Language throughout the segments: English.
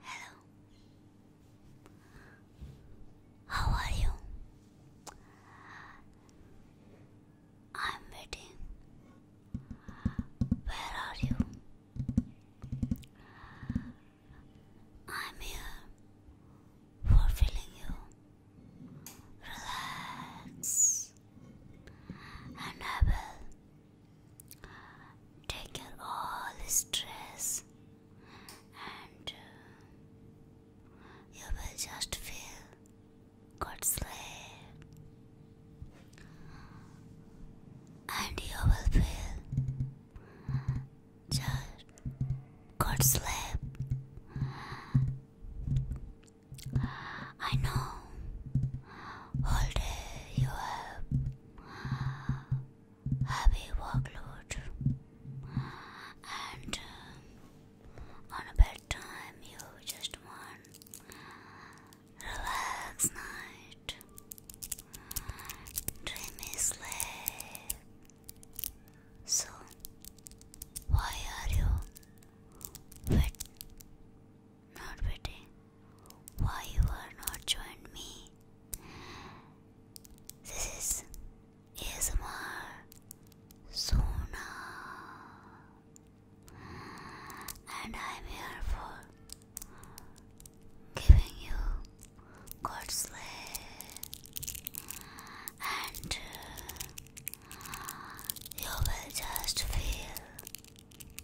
Hello. How are you? I'm waiting. Where are you? I'm here for feeling you. Relax and I will take care of all stress and uh, you will just feel good sleep and you will feel just good sleep. I know all day you have heavy workload and uh, on a bedtime you just want Relax night. Mm, Dreamy sleep. So, why are you wet? Not waiting. Why you are not joined me? This is ASMR Sona, and I am here for giving you good and you will just feel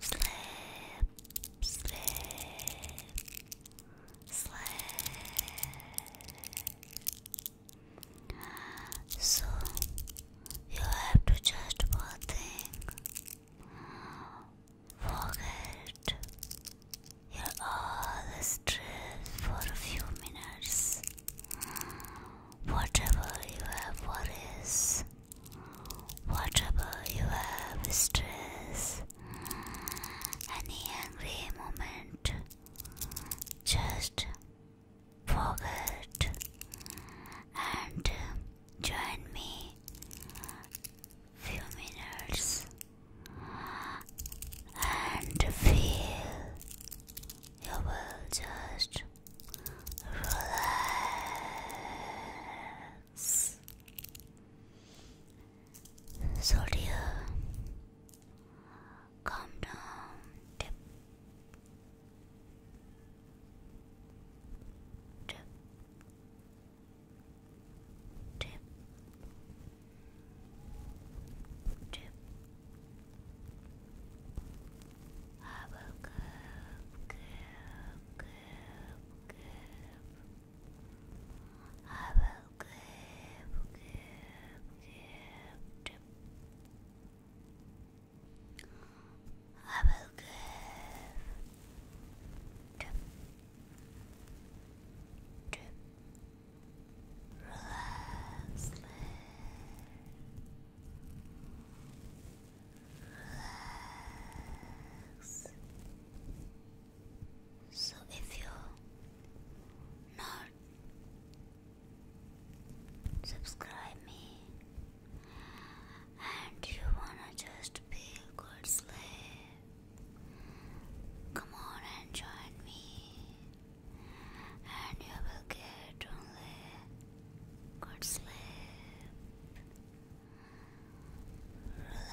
sleep, sleep, sleep. So you have to just one thing Forget your all stress for a few minutes. Whatever you have worries, whatever you have stress, any angry moment, just forget and Join me few minutes and feel you will just relax. So dear, calm down. Tip, tip, Drip. Drip. Hubble goop, goop, goop, goop. Hubble goop, goop, goop, drip. I will give drip, relax, relax, relax. So if you not subscribe me and you wanna just be a good slave. Come on and join me, and you will get only good sleep. Relax.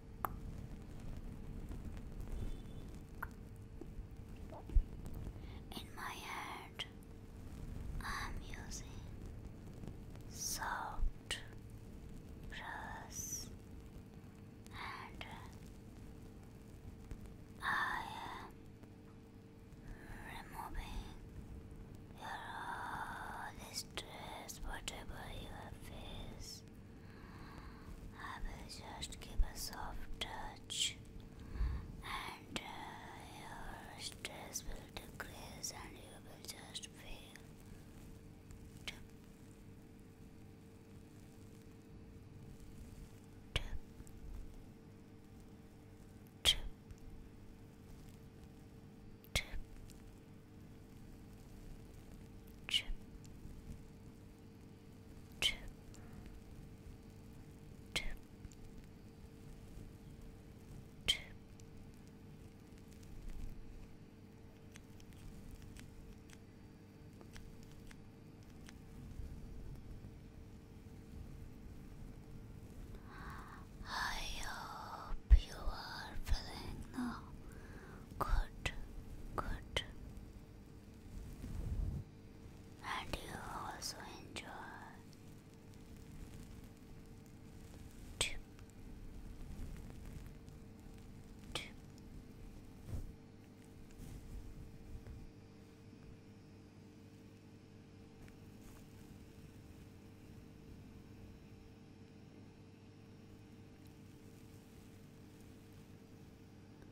In my hand, I'm using soft brush and I am removing your all stress, whatever you have I will just give a soft touch and uh, your stress will decrease and you will just feel tip, tip, tip, tip, Chip. I hope you are feeling now good, good, and you also enjoy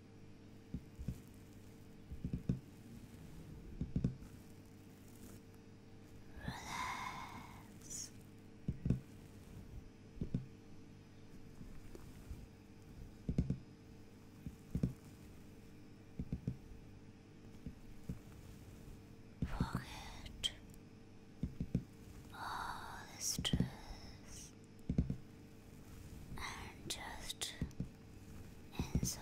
Relax. Forget all the stress and just enjoy.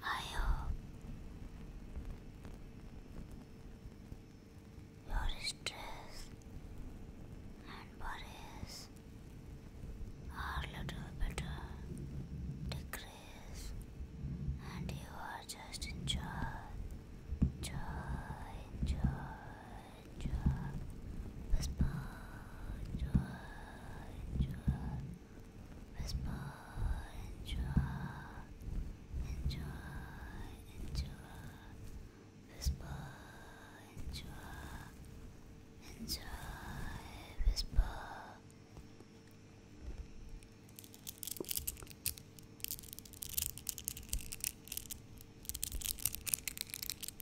I hope your stress and worries are little better decrease and you are just enjoy, enjoy, enjoy whisper, joy, joy, whisper, enjoy, enjoy, enjoy, whisper, enjoy, enjoy, whisper.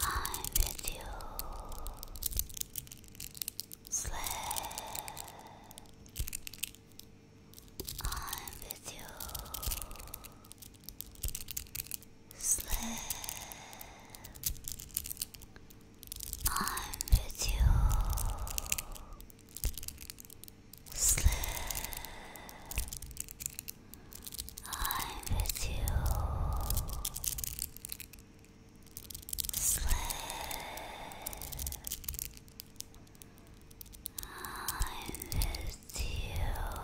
I'm with you. Slip. I'm with you. Slip. I'm with you. Slip. I'm with you. Sleep. I'm with you.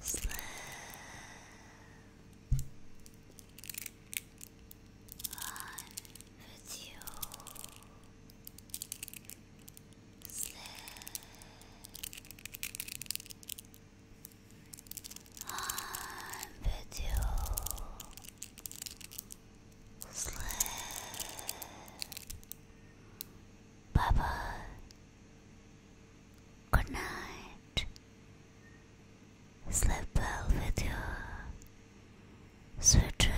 Sleep. I'm with you. Sleep. I'm with you. Sleep. Bye Good night. Sleep well with you. Sweet dream.